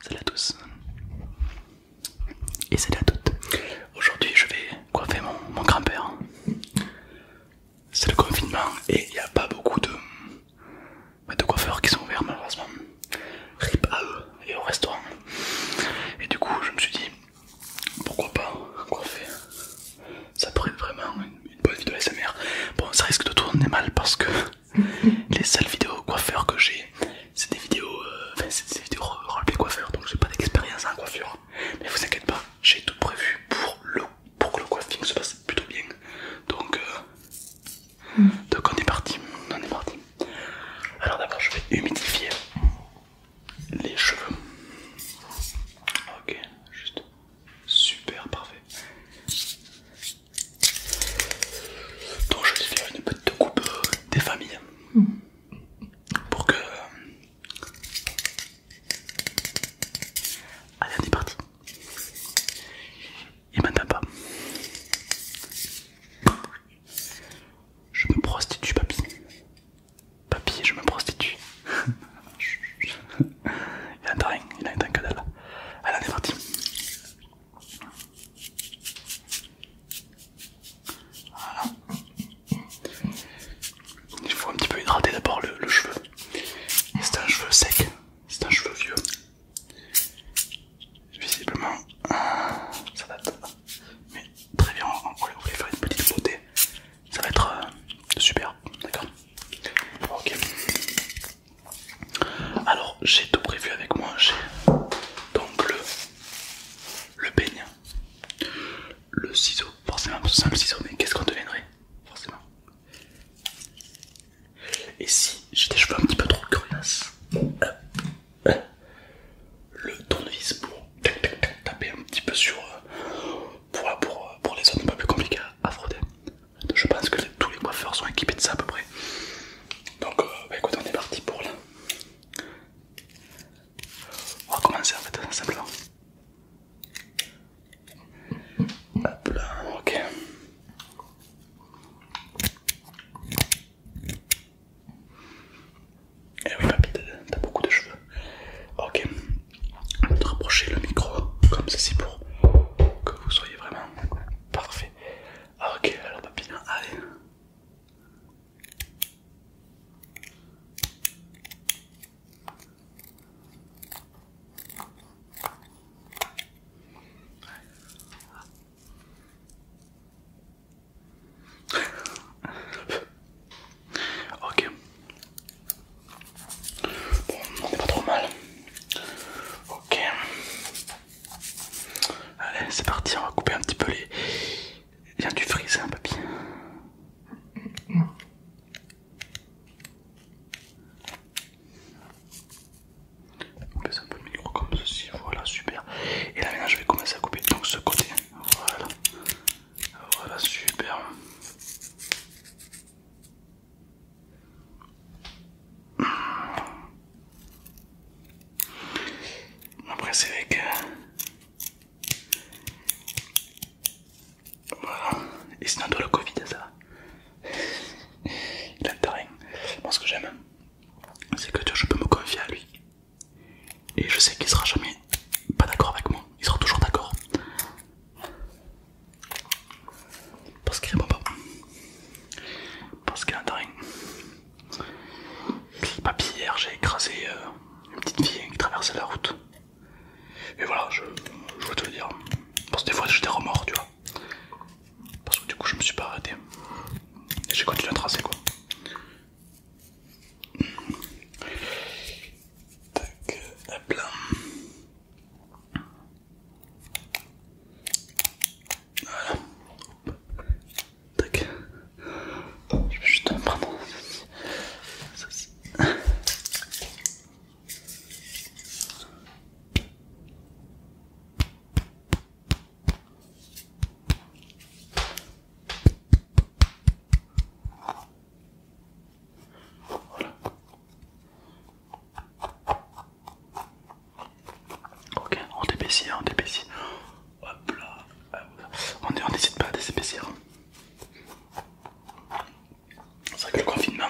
Salut à tous et salut à toutes. Aujourd'hui, je vais coiffer mon, grand-père. C'est le confinement et il n'y a pas beaucoup bah, de, coiffeurs qui sont ouverts, malheureusement. Rip à eux et au restaurant. Et du coup, je me suis dit pourquoi pas coiffer. Ça pourrait être vraiment une, bonne vidéo de SMR. Bon, ça risque de tourner mal parce que les seules vidéos coiffeurs que j'ai, c'est des vidéos, euh, enfin, c'est des vidéos coiffeur, donc j'ai pas d'expérience en coiffure. Mais vous inquiétez pas, j'ai tout prévu pour, que le coiffing se passe plutôt bien. Donc, euh, hmm. donc on est parti, on est parti. Alors d'abord, je vais humidifier les cheveux. Ok, juste super parfait. Donc je vais faire une petite coupe des familles pour que... Euh, allez on est parti Il m'entend pas Je me prostitue papi. Papy je me prostitue Il a rien, il entend que dalle Allez on est parti voilà. Il faut un petit peu hydrater d'abord le, cheveu. C'est un cheveu sec, c'est un cheveu vieux. Visiblement, ça date. Mais très bien, on, va va faire une petite beauté. Ça va être euh, super, d'accord Ok. Alors j'ai tout prévu avec moi, j'ai donc le, le le ciseau, forcément un le ciseau mais qu'est-ce qu'on deviendrait forcément. Et si j'ai des cheveux un petit peu trop curieux, le tournevis pour taper un petit peu sur euh, pour, pour, les zones un peu plus compliquées à frotter. Je pense que tous les coiffeurs sont équipés de ça à peu près. Donc, euh, bah, écoute, on est parti pour là. On va commencer en fait, simplement. Hop là, ok. Eh oui, papy, t'as beaucoup de cheveux. Ok, on va te rapprocher le micro comme ceci pour que vous soyez vraiment parfait. Ah ok, alors papillon, allez. ok. Bon, on est pas trop mal. Ok. Allez, c'est parti, on va couper un petit peu les. Viens, du friser, un hein, papy. On ça un peu le micro comme ceci, voilà, super. Et là maintenant je vais commencer à couper donc ce côté. Voilà. Voilà, super. Après c'est vrai que... Voilà. Et sinon de le Covid ça Il a Moi ce que j'aime, c'est que je peux me confier à lui. Et je sais qu'il sera jamais pas d'accord avec moi. Il sera toujours d'accord. Parce qu'il répond pas parce qu'il y a j'ai écrasé euh, une petite fille qui traversait la route. Et voilà, je, veux te le dire. Parce que des fois, j'étais remords, tu vois. Parce que du coup, je me suis pas arrêté. Et j'ai continué à tracer, quoi. Voilà. Tac. Je vais pardon. en ça aussi. Voilà. Ok, on t'épaissit, on t'épaissit. Hop là, on n'hésite pas à s'épaissir. C'est vrai que le confinement,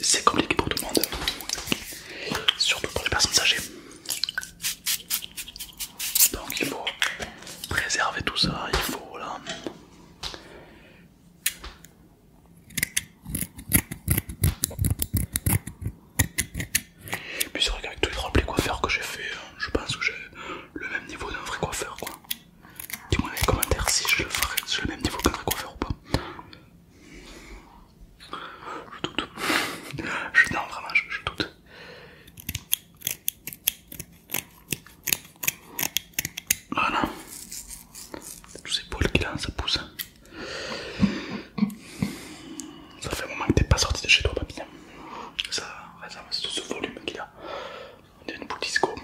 c'est compliqué pour tout le monde, surtout pour les personnes âgées. Donc il faut préserver tout ça, il faut là, puis c'est vrai qu'avec tous les roleplays coiffeurs que j'ai fait, euh, je pense que j'ai le même niveau d'un vrai coiffeur quoi. Dis-moi dans les commentaires si je le ferai, j'ai le même niveau qu'un vrai coiffeur ou pas. Je doute. Je, non vraiment je, doute. Voilà. Tous ces poils qui a, ça pousse. Hein. Ça fait un moment que t'es pas sorti de chez toi, papy. Hein. Ça, ça ce volume qu'il y a. On est une boule disco.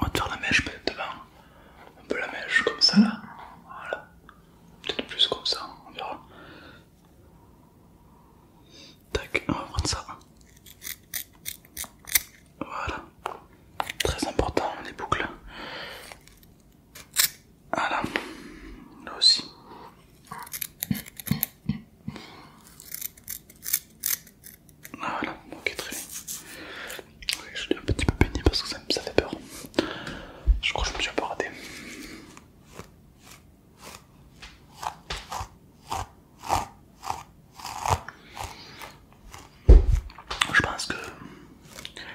On va te faire la mèche peut-être devant. Un peu la mèche comme ça là. Voilà. Peut-être plus comme ça, on verra. Tac, on va prendre ça. Voilà. Très important, les boucles. Voilà. Là aussi. Ah, voilà, ok très bien. je suis un petit peu peigné parce que ça, ça fait peur. Je crois que je me suis un peu raté. Je pense que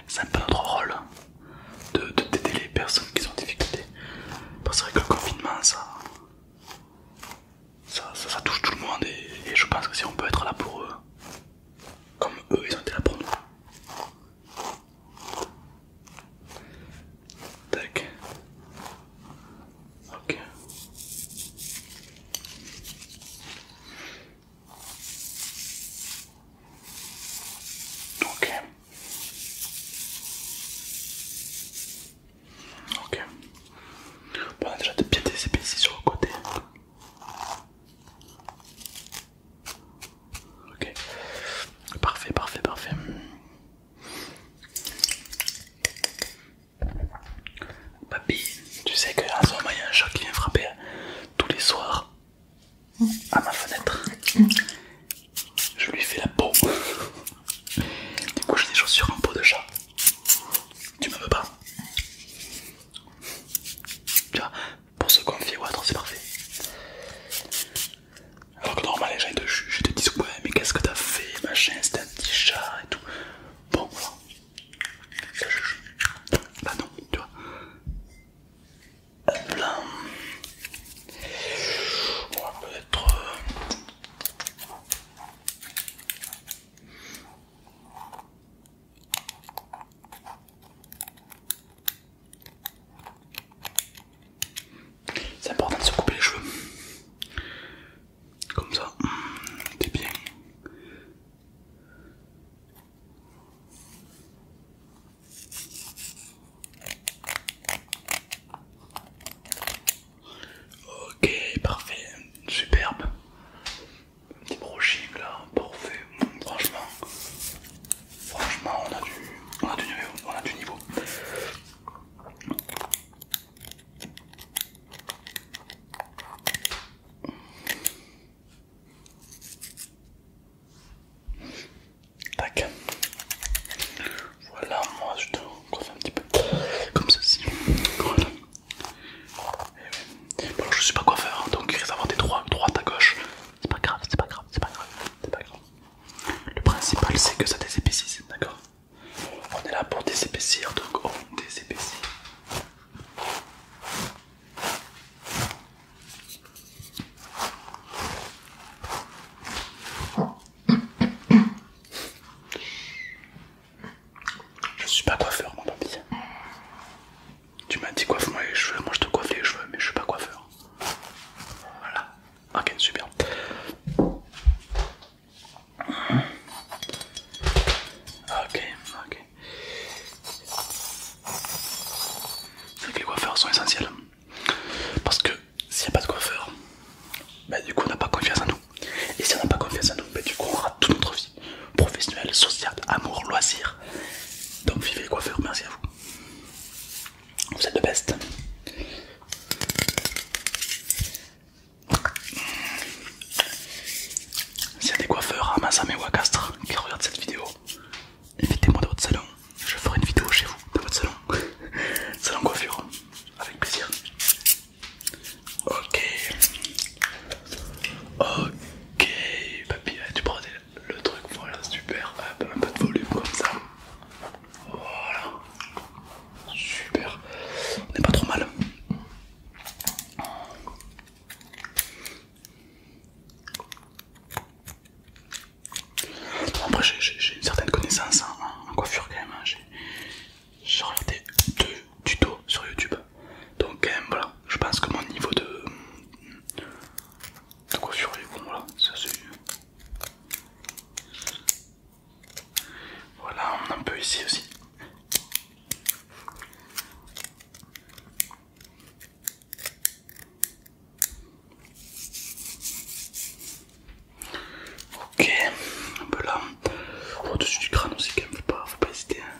c'est un peu notre rôle de d'aider les personnes qui sont en difficulté. Parce que le confinement, ça, ça, ça, touche tout le monde et, je pense que si on peut être là pour eux, comme eux, ils ont été là pour nous. Ok. Ok. Ok. on a déjà bien des épées ici sur le côté. Ok. Parfait, parfait, parfait. Papy, tu sais qu'en ce moment il y a un chat qui vient frapper hein, tous les soirs à ma fenêtre. Je lui fais la peau. Du coup, j'ai des chaussures en peau de chat. Tu me veux pas Tu vois, pour se confier ou autre, c'est parfait. Alors que normalement, les gens te jugent, te disent ouais, mais qu'est-ce que t'as fait, machin, c'était un petit chat et tout. Bon, voilà, bah non, tu vois. Hop On peut-être... Euh, c'est important de se couper les cheveux. Comme ça, t'es bien. Ok, parfait, superbe. petit là, parfait. Franchement, franchement, on a du, on a du niveau, on a du niveau. Tac. Voilà, moi je te coiffe un petit peu comme ceci. Voilà. alors, eh je suis pas coiffeur, hein, donc il risque d'avoir des droits, droite à gauche. C'est pas grave, c'est pas grave, c'est pas grave, c'est pas grave. Le principal c'est que ça désépaissit, d'accord On est là pour désépaissir, donc on désépaissit. Je suis pas coiffeur, mon papy. Tu m'as dit coiffe-moi les cheveux, moi je te coiffe les cheveux, mais je suis pas coiffeur. Voilà. Ok, super. Ok, ok les coiffeurs sont essentiels. Parce que s'il n'y a pas de coiffeur, bah, du coup on n'a pas confiance en nous. Et si on n'a pas confiance en nous, ben du coup on rate toute notre vie. Professionnelle, sociale, amour, loisir. Donc vivez les coiffeurs, merci à vous. Vous êtes le best. S'il y a des coiffeurs à Massam et qui regardent cette vidéo, invitez-moi de votre salon. Je ferai une vidéo chez vous, de votre salon. salon coiffure, avec plaisir. Ok. Ok, papy, eh, tu prends le truc, voilà, super. un peu de volume comme ça. Voilà. Super. On est pas trop mal après, j'ai une certaine connaissance en, coiffure quand même. Hein. J'ai regardé deux tutos sur YouTube. Donc, euh, voilà, je pense que mon niveau de, coiffure est bon. Voilà, Voilà, on en un peu ici aussi. Ok, un peu là, au-dessus du crâne aussi quand même, pas, faut pas hésiter. Hein.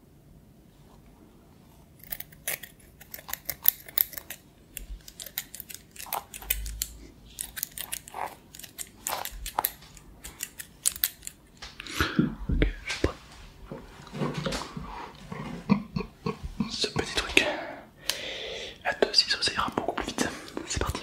Ok, je suis prêt. Ce petit truc à 2 ciseaux, ça ira beaucoup plus vite. C'est parti.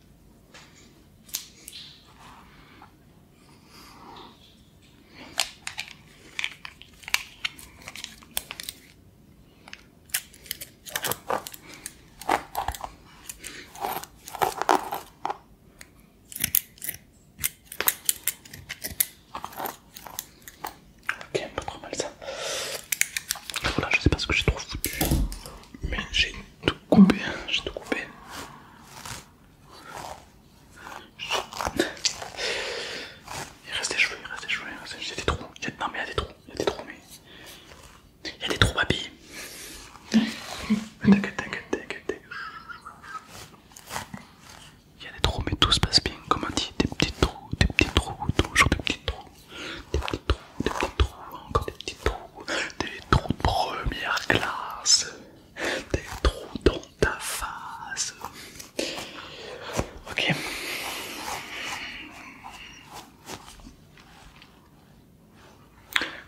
Ok, pas trop mal ça. Voilà, je sais pas ce que j'ai trop foutu. Mais j'ai tout coupé, hein, j'ai tout coupé. Il reste des cheveux, il reste des cheveux, il y a des trous. Non mais il y a des trous, il y a des trous, mais... Il y a des trous, papy. Tac t'inquiète, Il y a des trous, mais tout se passe bien, comme on dit, des petits trous, des petits trous, toujours des petits trous des petits trous, des petits trous, encore des petits trous, des trous de première classe, des trous dans ta face. Ok.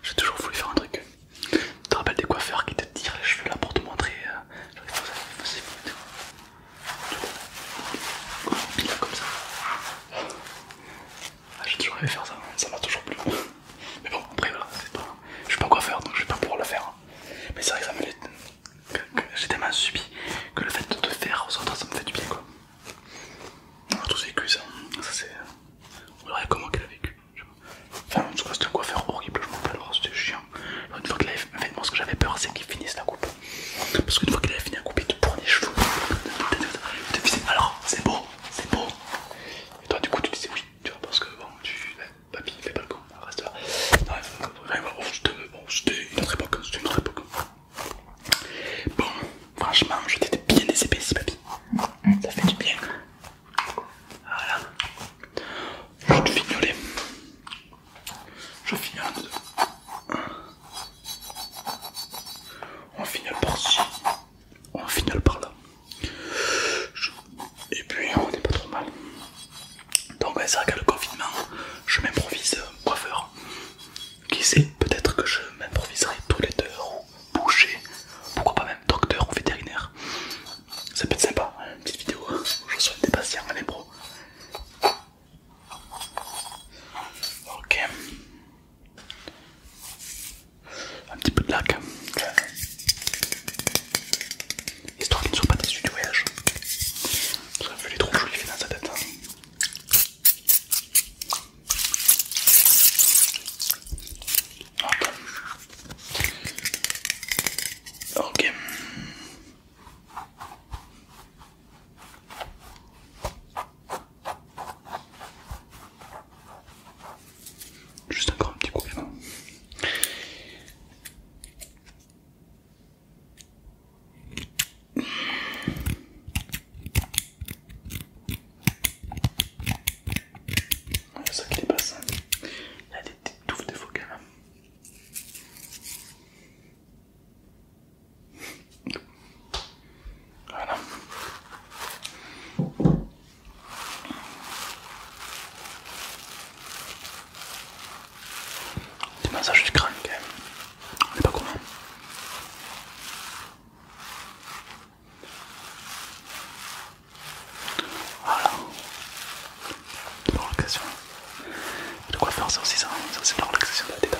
J'ai toujours voulu faire un truc. Tu te rappelles des coiffeurs qui te tirent les cheveux là pour te montrer euh, comme ça. Ah, j'ai toujours rêvé faire ça, ça m'a toujours plu. Mais bon, après voilà, c'est pas... je sais pas quoi faire donc je vais pas pouvoir le faire. Hein. Mais c'est vrai que ça me J'ai tellement subi que le fait de te faire autres ça me fait du bien quoi. On ah, a tous vécu ça, ça c'est. On dirait comment qu'elle a vécu. Enfin, en tout cas, c'était un coiffeur horrible, je m'en rappelle, oh, c'était chiant. Une fois que l'a fait, moi ce que j'avais peur c'est qu'il finisse la coupe. Parce qu'une fois qu'elle avait fini à couper, tu prenais les cheveux. Tu te alors c'est beau, c'est beau. Et toi, du coup, tu disais oui, tu vois, parce que bon, tu. papy, fais pas le con, reste là. Non, bon, c'était une autre époque, Bon, franchement, je t'étais bien des épaissis, papy. Ça fait du bien. Voilà. Je te fignolais. Je finis en on finit par ci, on finale par là. Et puis on n'est pas trop mal. Donc ben, c'est vrai qu'à le confinement, je m'improvise euh, coiffeur. Qui sait, peut-être que je m'improviserai tous les deux ou boucher, pourquoi pas même docteur ou vétérinaire. Ça peut être sympa, hein, une petite vidéo, je soigne des patients à impro. Ok. Un petit peu de lac. Histoire qu'il ne soit pas déçu du voyage. Parce que vu Ok. Juste encore un petit coup bien. C'est ah, ça qui simple. Hein. Il y a des petites touffes de faux voilà. du massage du crâne quand même. On n'est pas commun. Voilà. De la relaxation. De quoi faire ça aussi ça, ça c'est de la relaxation de la détente.